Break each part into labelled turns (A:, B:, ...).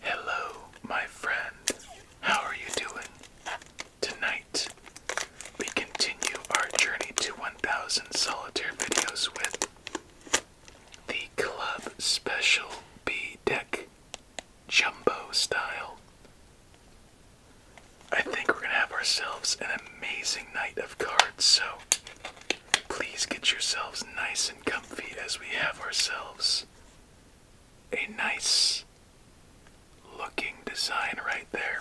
A: Hello, my friend. How are you doing? Tonight, we continue our journey to 1000 solitaire videos with the Club Special B deck, jumbo style. I think we're going to have ourselves an amazing night of cards, so Please get yourselves nice and comfy as we have ourselves a nice looking design right there.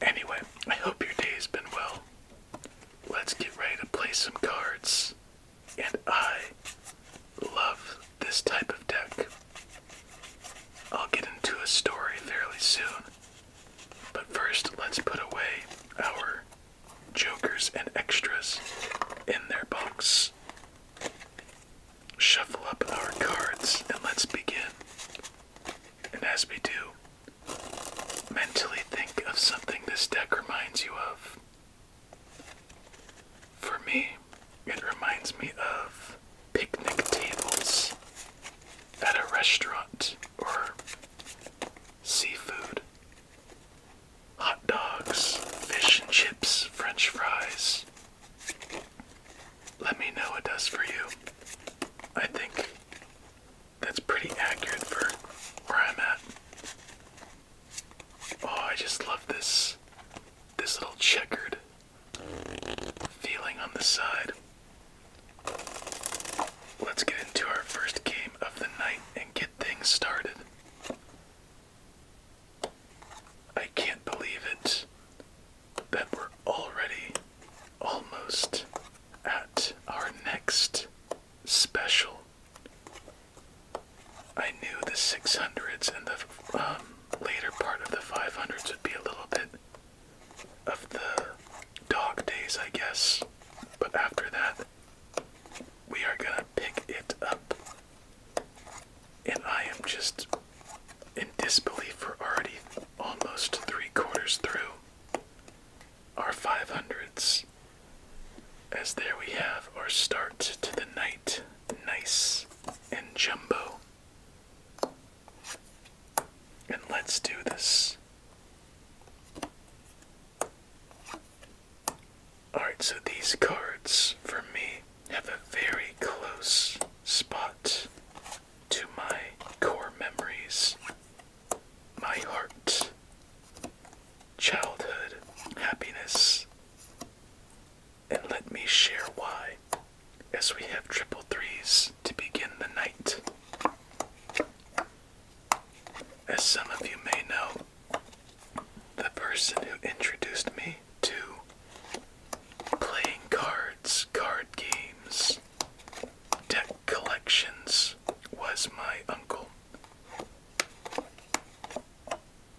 A: Anyway, I hope your day has been well. Let's get ready to play some cards. And I love this type of deck. I'll get into a story fairly soon. But first, let's put away our jokers and extras in their box. Shuffle up our cards and let's begin. And as we do, mentally think of something this deck reminds you of. For me, it reminds me of picnic tables at a restaurant or seafood, hot dogs, fish and chips, french fries. Let me know what does for you. I think that's pretty accurate for where I'm at. Oh, I just love this this little checkered feeling on the side. Let's get into our first game of the night and get things started. I can't believe it that we're already almost at our next special. I knew the 600s and the um, later part of the 500s would be a little bit of the dog days, I guess. But after that, we are gonna pick it up. And I am just in disbelief. We're already almost three quarters through our 500s. As there we have our start to the night. Nice and jumbo. And let's do this. Alright, so these cards for me have a very close spot to my core memories, my heart, childhood, happiness, and let me share why as we have triple threes to begin the night. As some of you may know, the person who introduced me to playing cards, card games, deck collections was my uncle.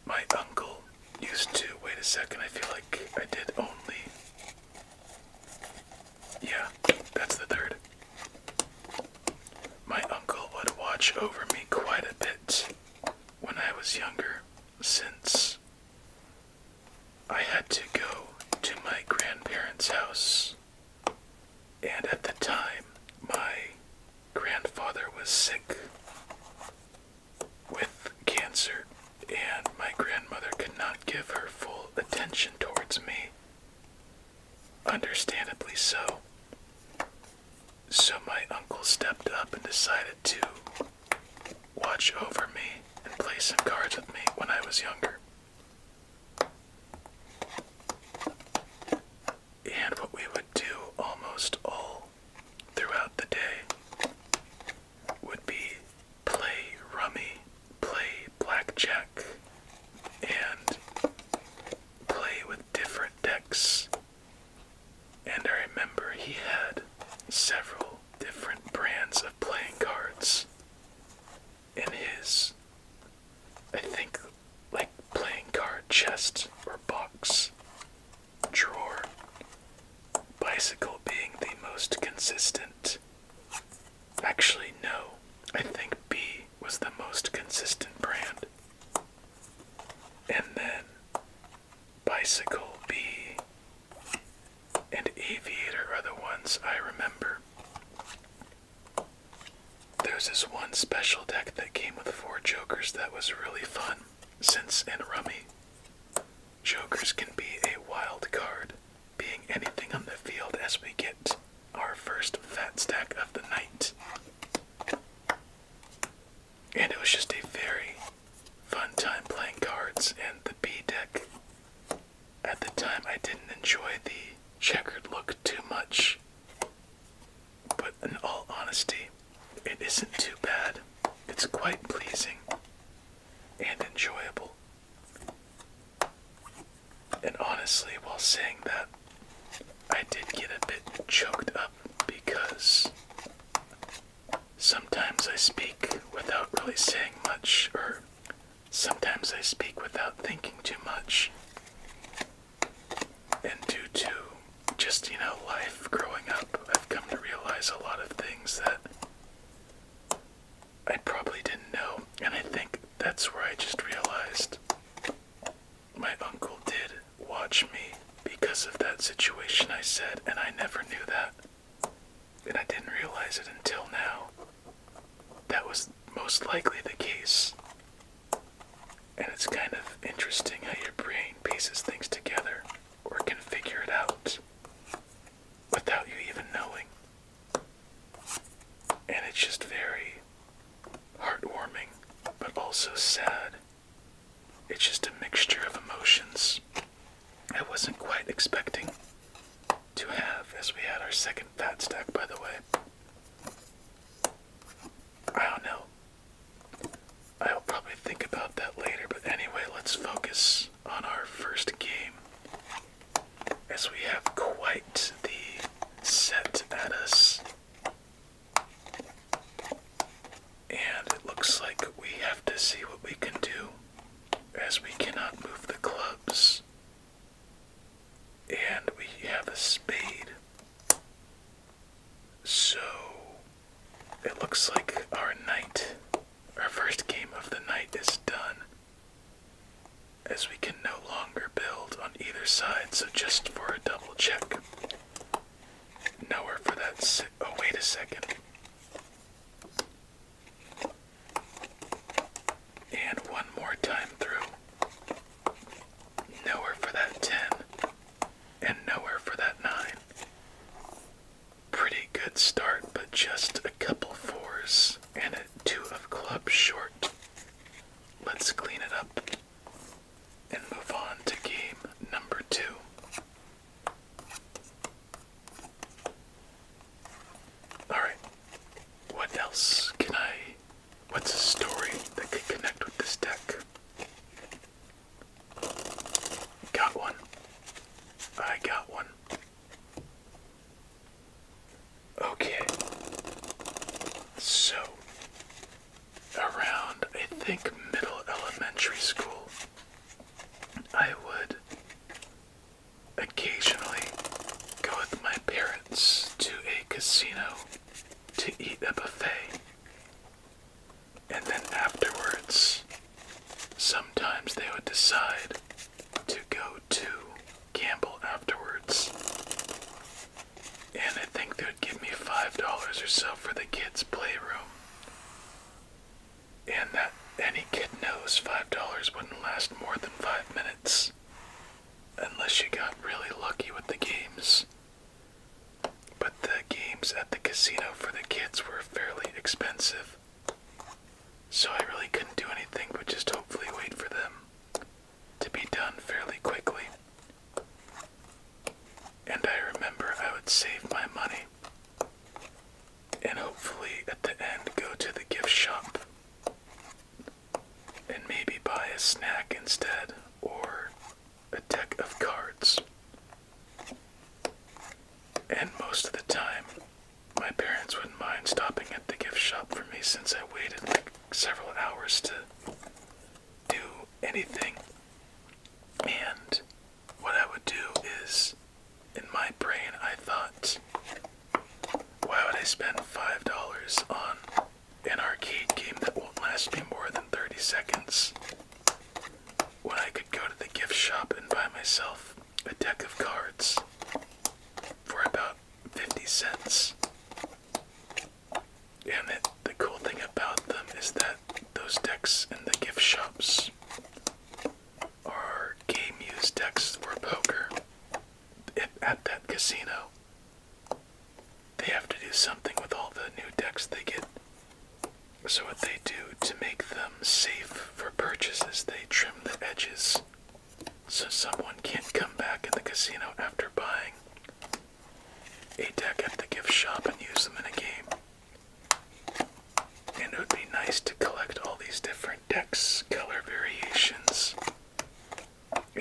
A: My uncle used to, wait a second, I feel like I did only yeah, that's the third. My uncle would watch over me quite a bit when I was younger, since I had to go to my grandparents' house. And at the time, my grandfather was sick with cancer, and my grandmother could not give her full attention towards me Understandably so. So my uncle stepped up and decided to watch over me and play some cards with me when I was younger. And what we would do almost all throughout the day would be play rummy, play blackjack, and play with different decks. And I remember he had several different brands of playing cards in his, I think, like playing card chest or box drawer. Bicycle being the most consistent Actually, no. I think B was the most consistent brand. And then Bicycle B and Aviator are the ones I remember. There's this one special deck that came with four jokers that was really fun. Since and Rummy. Jokers can be a wild card being anything on the field as we get our first fat stack of the night. And it was just a very fun time playing cards and the B deck. At the time, I didn't enjoy the checkered look too much, but in all honesty, it isn't too bad. It's quite pleasing and enjoyable. And honestly, while saying that, I did get a bit choked up because sometimes I speak without really saying much, or sometimes I speak without thinking too much. And due to just, you know, life growing up, I've come to realize a lot of things that I probably didn't know, and I think that's where I just realized my uncle did watch me because of that situation I said, and I never knew that. And I didn't realize it until now. That was most likely the case. And it's kind of interesting how your brain pieces things together or can figure it out without you even knowing. And it's just very heartwarming, but also sad. It's just a mixture of emotions I wasn't quite expecting to have as we had our second fat stack, by the way. I don't know. I'll probably think about that later, but anyway, let's focus on our first game, as we have quite the set at us. And it looks like we have to see what we can do, as we cannot move the clubs. And we have a spade. So it looks like our night, our first game of the night is done as we can no longer build on either side. So just for a double check, nowhere for that. oh, wait a second. And one more time through. Nowhere for that 10, and nowhere for that 9. Pretty good start, but just a couple fours and a two of clubs short. Let's clean it up and move on to game number two. Alright, what else can I. What's a story that could connect with this deck? Got one. I got one. Okay. So, around I think middle elementary school, I would occasionally go with my parents to a casino to eat a buffet. And then afterwards, Sometimes they would decide to go to Campbell afterwards. And I think they would give me $5 or so for the kids' playroom. And that any kid knows $5 wouldn't last more than five minutes. Unless you got really lucky with the games. But the games at the casino for the kids were fairly expensive. So I really couldn't do anything but just hopefully wait for them to be done fairly quickly. And I remember I would save my money and hopefully at the end go to the gift shop and maybe buy a snack instead or a deck of cards. And most of the time, my parents wouldn't mind stopping at the gift shop for me since I waited like several hours to do anything. And what I would do is, in my brain, I thought, why would I spend $5 on an arcade game that won't last me more than 30 seconds when I could go to the gift shop and buy myself a deck of cards for about 50 cents. And it, the cool thing about them is that those decks in the gift shops are game use decks for poker at that casino. They have to do something with all the new decks they get. So, what they do to make them safe for purchases, they trim the edges so someone can't come back in the casino after buying a deck at the gift shop and use them in a game. And it would be nice to collect all these different decks, color variations,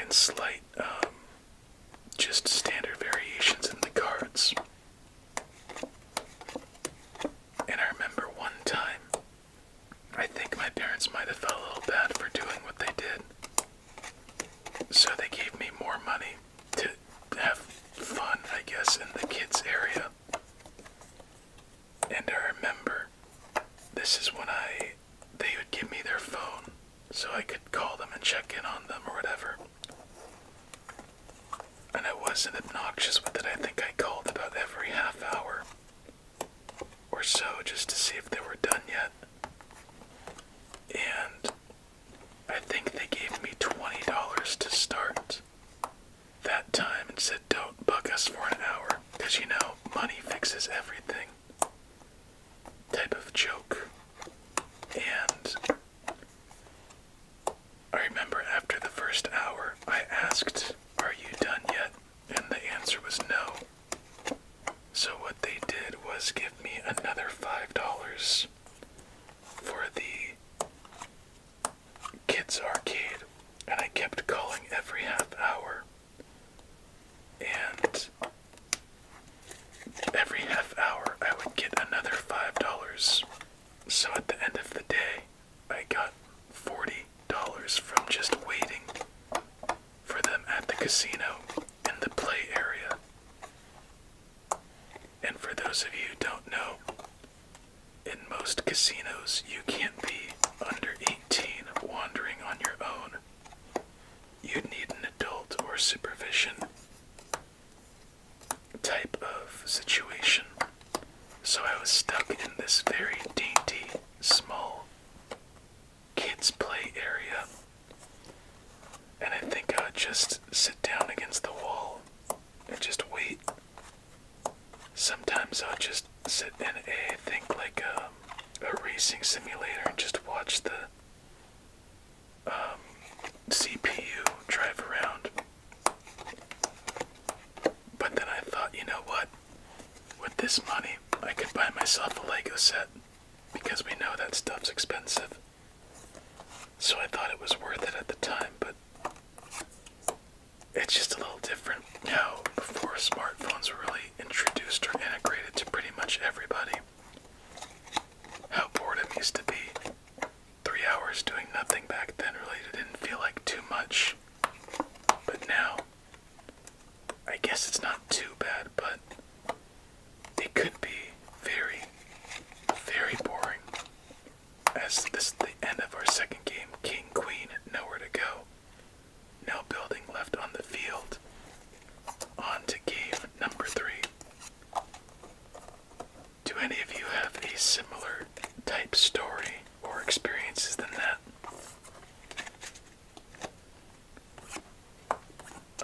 A: and slight, um, just standard variations in the cards. And I remember one time, I think my parents might have felt a little bad for doing what they did. So they gave me more money to have fun, I guess, in the kids' area. And I remember this is when I they would give me their phone so I could call them and check in on them or whatever. And it wasn't obnoxious but that I think I called about every half hour or so just to see if they were done yet. And I think they gave me $20 to start that time and said, don't bug us for an hour. Because you know, money fixes everything type of joke. And I remember after the first hour, I asked, Are you done yet? And the answer was no. So, what they did was give me another $5 for the kids' arcade, and I kept calling every half hour. And every half hour, I would get another $5. So, at the end of the day, I got $40 from just waiting for them at the casino in the play area. And for those of you who don't know, in most casinos you can't be under 18 wandering on your own. You'd need an adult or supervision type of situation. So I was stuck in this very dainty, small kids' play area. And I think I would just sit down against the wall and just wait. Sometimes I would just sit in a think, like um, a, racing simulator and just watch the um, CPU drive around. But then I thought, you know what? With this money, I could buy myself a Lego set because we know that stuff's expensive. So I thought it was worth it at the time, but it's just a little different now. before smartphones were really introduced or integrated to pretty much everybody. How bored it used to be three hours doing nothing back then really didn't feel like too much. But now, I guess it's not too bad, but it could be very, very boring. As this is the end of our second game, King Queen, nowhere to go. No building left on the field. On to game number three. Do any of you have a similar type story or experiences than that?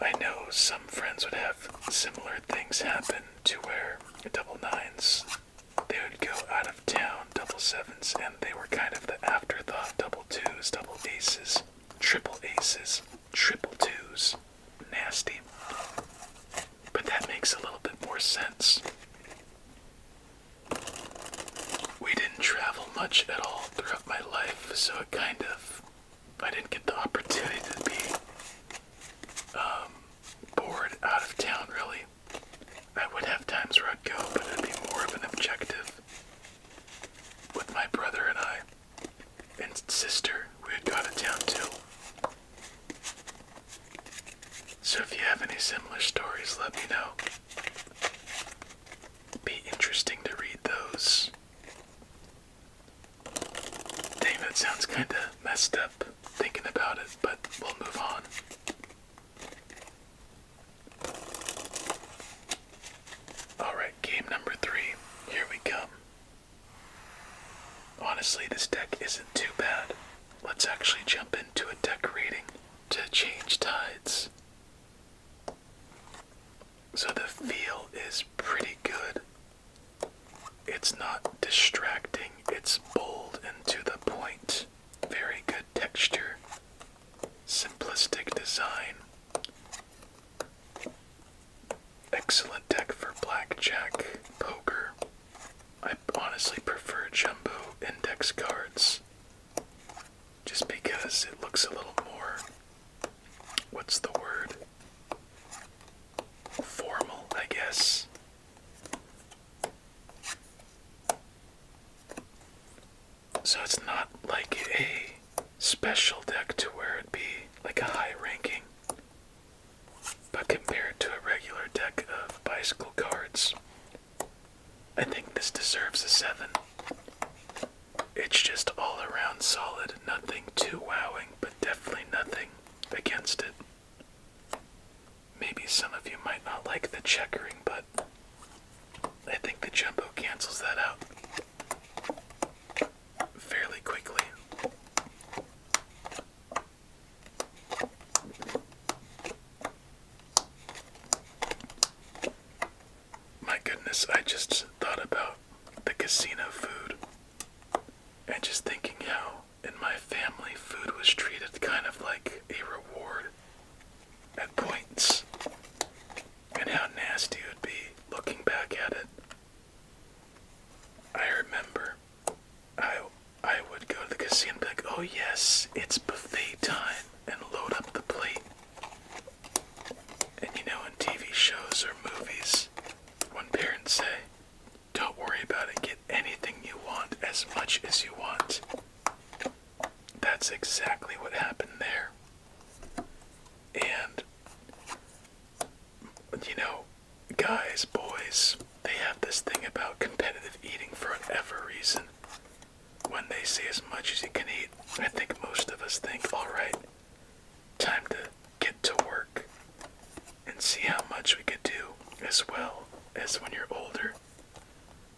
A: I know some friends would have similar things happen to where double nines they would go out of town double sevens and they were kind of the afterthought double twos, double aces, triple aces, triple twos. Nasty. But that makes a little bit more sense. We didn't travel much at all throughout my life, so it kind of. I didn't get the opportunity to be um, bored out of town, really. I would have times where I'd go, but it'd be more of an objective. With my brother and I, and sister, we had gone to town too. So if you have any similar stories, let me know. be interesting to read those. Dang, that sounds kinda messed up thinking about it, but we'll move on. Alright, game number three. Here we come. Honestly, this deck isn't too bad. Let's actually jump into a deck rating to change tides. So the feel is pretty good. It's not distracting, it's bold and to the point. Very good texture, simplistic design. Excellent deck for blackjack, poker, I honestly prefer jumbo index cards just because it looks a little more what's the word formal, I guess. So it's not like a special deck to where it'd be like a high ranking but compared to a regular deck of bicycle cards, I think this deserves a 7. It's just all around solid, nothing too wowing, but definitely nothing against it. Maybe some of you might not like the checkering, but I think the jumbo cancels that out fairly quickly. My goodness, I just thought about the casino food and just thinking how in my family food was treated kind of like a reward and points and how nasty it would be looking back at it. I remember I I would go to the casino and be like, oh yes, it's buffet time, and load up the plate. And you know, in TV shows or movies, when parents say, don't worry about it, get anything you want, as much as you want. That's exactly what happened there. And, you know, guys, boys, they have this thing about competitive eating for whatever reason. When they see as much as you can eat, I think most of us think, alright, time to get to work and see how much we could do as well as when you're older.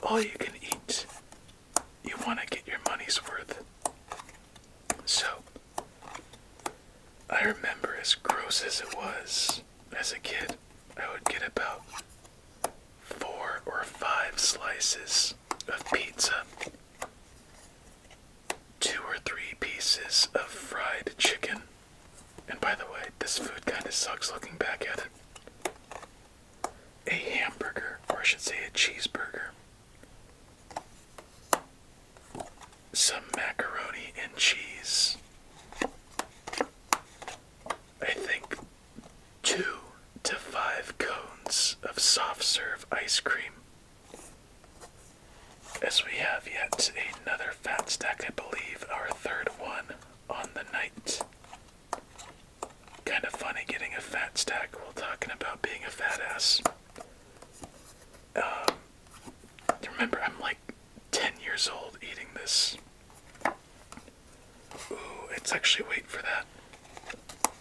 A: All you can eat, you want to get your money's worth. So, I remember as gross as it was as a kid, I would get about four or five slices of pizza, two or three pieces of fried chicken. And by the way, this food kind of sucks looking back at it. A hamburger, or I should say a cheeseburger some macaroni and cheese. I think two to five cones of soft serve ice cream. As we have yet another fat stack, I believe our third one on the night. Kind of funny getting a fat stack while talking about being a fat ass. Um, Remember, I'm like 10 years old eating this. Ooh, it's actually, wait for that.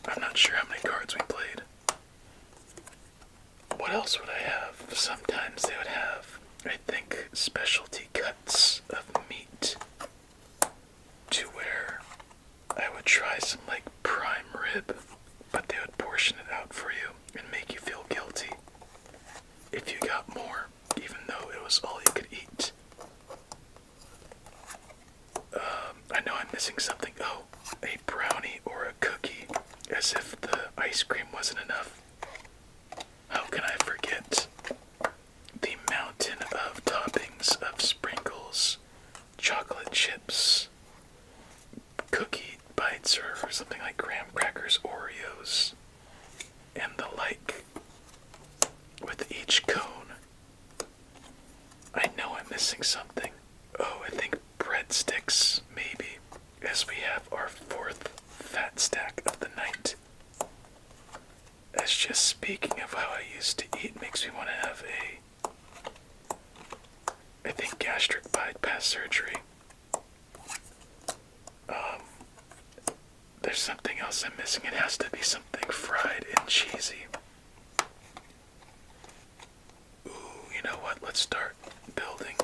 A: I'm not sure how many cards we played. What else would I have? Sometimes they would have, I think, specialty cuts of meat to where I would try some like prime rib, but they would portion it out for you and make you feel guilty if you got more, even though it was all you could eat. Um, I know I'm missing something. Oh, a brownie or a cookie, as if the ice cream wasn't enough. How can I forget the mountain of toppings of sprinkles, chocolate chips, cookie bites or something like graham crackers, Oreos, and the like with each cone. I know I'm missing something. Oh, I think breadsticks, maybe, as we have our fourth fat stack of the night. As just speaking of how I used to eat makes me want to have a. I think gastric bypass surgery. Um, there's something else I'm missing. It has to be something fried and cheesy. Ooh, you know what? Let's start building.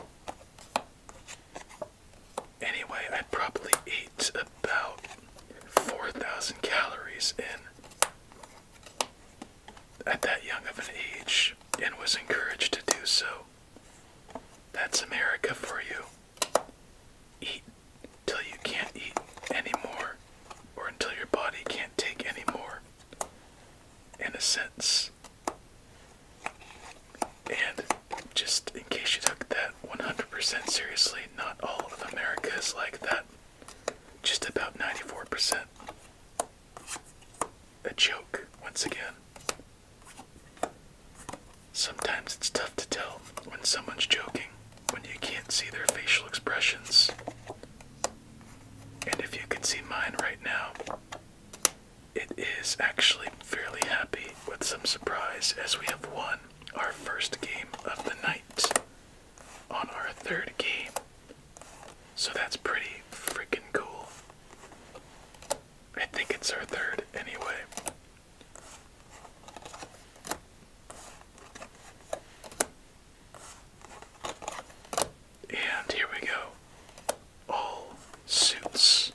A: Anyway, I probably ate about 4,000 calories in at that young of an age and was encouraged to do so. That's America for you. Eat till you can't eat anymore, or until your body can't take anymore. In a sense. And just in case you took that 100% seriously, not all of America is like that. Just about 94% a joke once again. Sometimes it's tough to tell when someone's joking when you can't see their facial expressions. And if you can see mine right now, it is actually fairly happy with some surprise as we have won our first game of the night on our third game. So that's pretty freaking cool. I think it's our third anyway. And here we go. All suits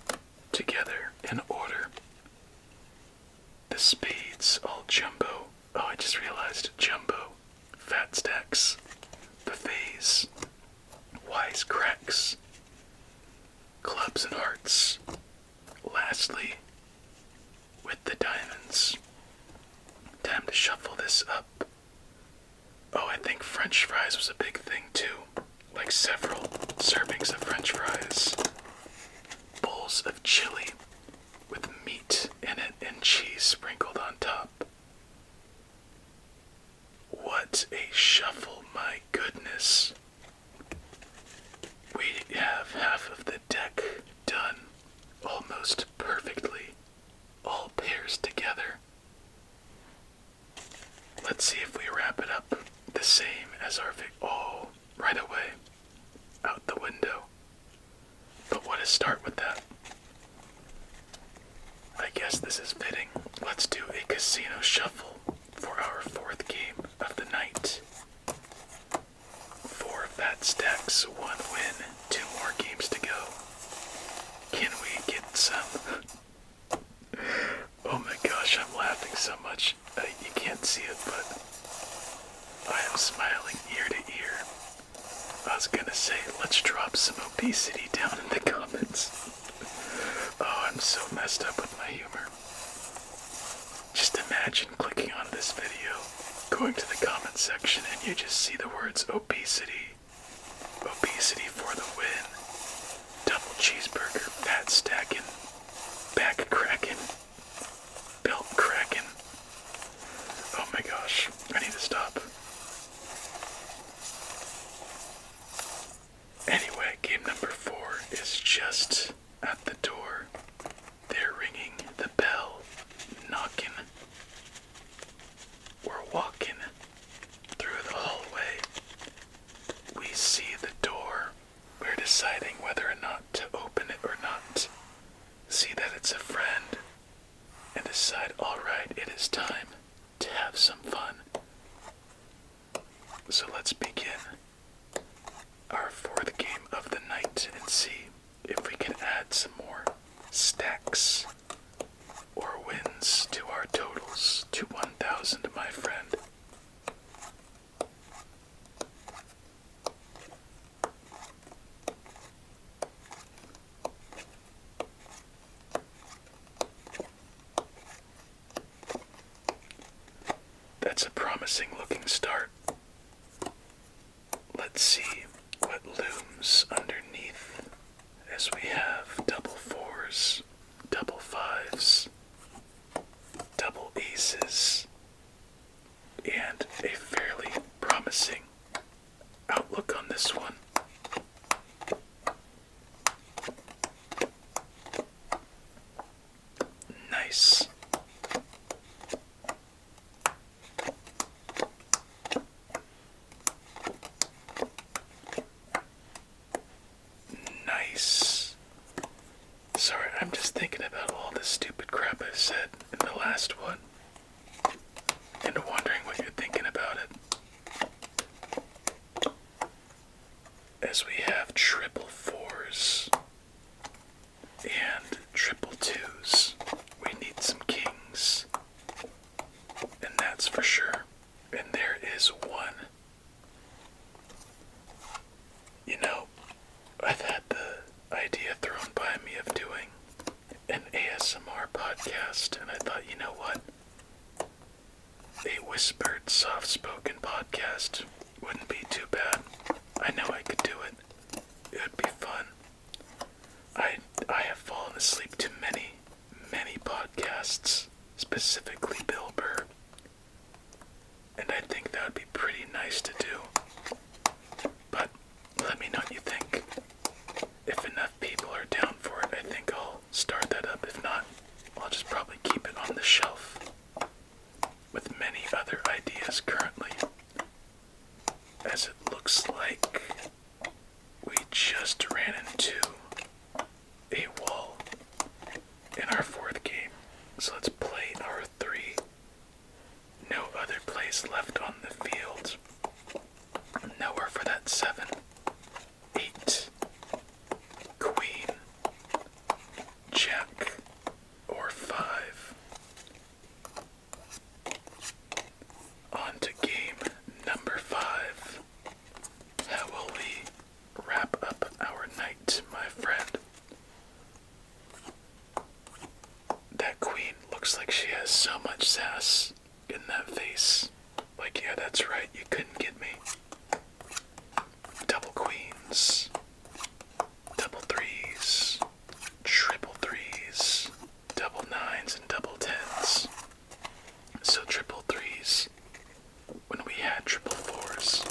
A: together in order. The spades all jumbo. Oh, I just realized jumbo fat stacks, buffets, wise cracks, clubs and hearts. Lastly, with the diamonds. Time to shuffle this up. Oh, I think french fries was a big thing too. Like several servings of french fries. Bowls of chili with meat in it and cheese sprinkled on top. What a shuffle, my goodness. We have half of the deck done almost perfectly, all pairs together. Let's see if we wrap it up the same as our vic. Oh, away. Out the window. But what a start with that. I guess this is fitting. Let's do a casino shuffle for our fourth game of the night. Four fat stacks, one win, two more games to go. Can we get some? oh my gosh, I'm laughing so much. Uh, you can't see it, but I am smiling ear to ear. I was gonna say, let's drop some obesity down in the comments. oh, I'm so messed up with my humor. Just imagine clicking on this video, going to the comment section, and you just see the words obesity, obesity for the win, double cheeseburger, fat stacking, back cracking, belt cracking. Oh my gosh, I need to stop. Anyway, game number four is just at the door. They're ringing the bell, knocking. We're walking through the hallway. We see the door. We're deciding whether or not to open it or not. See that it's a friend and decide all right, it is time to have some fun. So let's begin our fourth game of the night and see if we can add some more stacks or wins to our totals to 1,000, my friend. That's a promising looking start. Let's see what looms underneath as we have double fours, double fives, double aces, and a fairly promising outlook on this one. Nice. Nice. Sorry, I'm just thinking about all this stupid crap I said in the last one. And wondering what you're thinking about it. As we have triple fours and triple twos, we need some kings, and that's for sure. And there is one. You know, I've had the idea thrown by me of doing an ASMR podcast, and I thought, you know what? A whispered, soft spoken podcast wouldn't be too bad. I know I could do it, it would be fun. I, I have fallen asleep to many, many podcasts, specifically Bill Burr, and I think that would be pretty nice to do. But let me know what you think. If enough people are down for it, I think I'll start that up. If not, I'll just probably keep it on the shelf with many other ideas currently. As it looks like we just ran into a wall in our fourth game. So let's play our three no other place left on the field. Nowhere for that seven. Eight. Queen. Jack. Or five. On to game number five. How will we wrap up our night, my friend? That queen looks like she has so much sass in that face. Like, yeah, that's right, you couldn't get me. Double queens, double threes, triple threes, double nines, and double tens. So, triple threes when we had triple fours.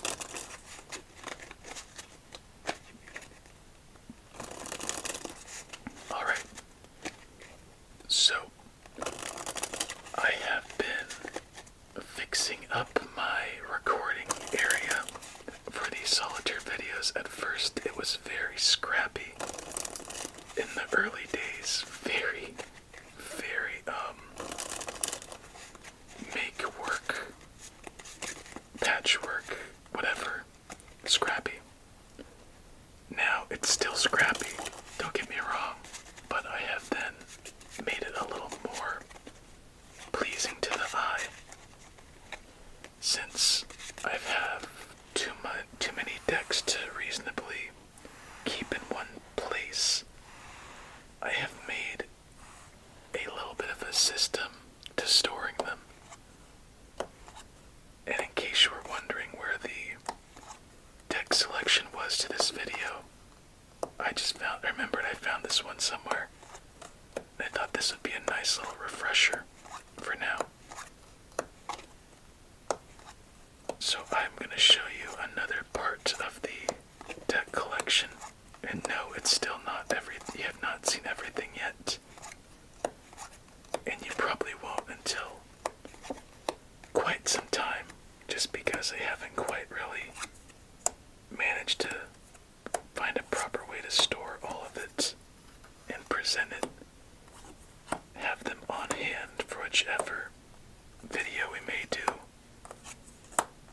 A: All right. So I have been fixing up my recording area for these solitaire videos. At first, it was very scrappy in the early days, very, very, um, make work, patchwork, whatever. Scrappy. Now it's still scrappy, don't get me wrong, but I have then made it a little more pleasing to the eye since I've too much too many decks to reasonably keep in one place. I have made a little bit of a system to storing them and in case you were wondering where the deck selection was to this video, I just found remembered I found this one somewhere. I thought this would be a nice little refresher for now. So I'm going to show you another part of the deck collection. And no, it's still not every you have not seen everything yet and you probably won't until quite some time just because I haven't quite really managed to find a proper way to store all of it and present it. Have them on hand for whichever video we may do.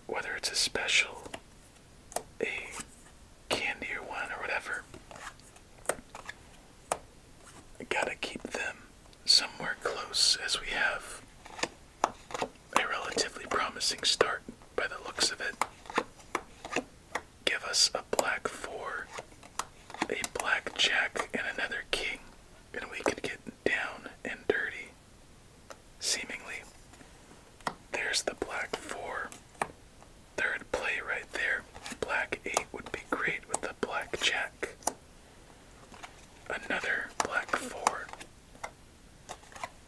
A: Whether it's a special, a candy or one or whatever. I gotta keep them somewhere close as we have a relatively promising start by the looks of it. Give us a black four, a black jack, and another king, and we could get down and dirty. Seemingly, there's the black four. Third play right there. Black 8 would be great with the black jack. Another black 4.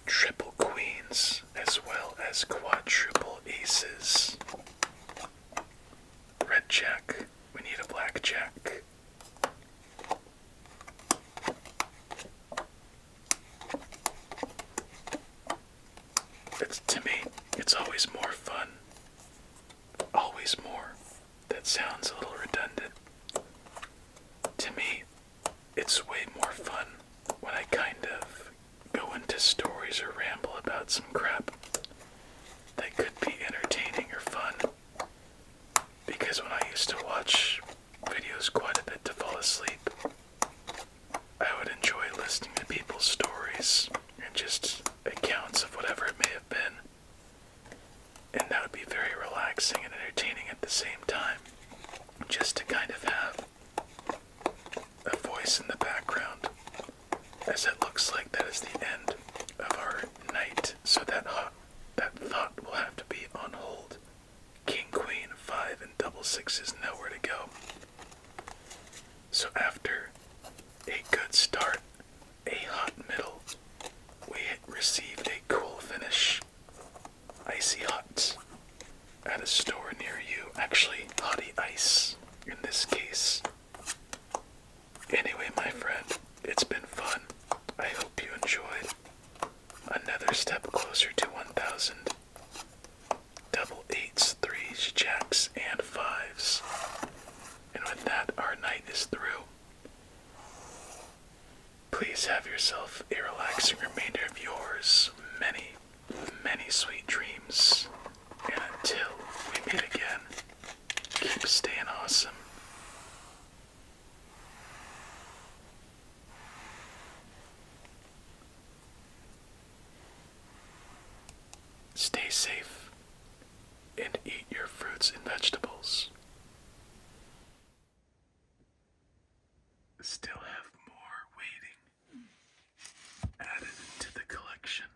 A: Triple queens as well as quadruple aces. Red jack. We need a black jack. It's to me, it's always more fun. Always more. That sounds a little redundant. To me, it's way more fun when I kind of go into stories or ramble about some crap that could be entertaining or fun. Because when I used to watch videos quite a bit to fall asleep, I would enjoy listening to people's stories and just accounts of whatever it may have been. And that would be very relaxing and entertaining at the same time. Just to kind of have a voice in the background. As it looks like that is the end of our night, so that that thought will have to be on hold. King, queen, five, and double six is nowhere to go. So after a good start, a hot middle, we received a cool finish. Icy hot at a store near you. Actually, hottie ice in this case. Anyway, my friend, it's been fun. I hope you enjoyed. Another step closer to 1,000. Double eights, threes, jacks, and fives. And with that, our night is through. Please have yourself a relaxing remainder of yours. Many, many sweet dreams. And until we meet again, keep staying awesome. Stay safe and eat your fruits and vegetables. Still have more waiting added to the collection.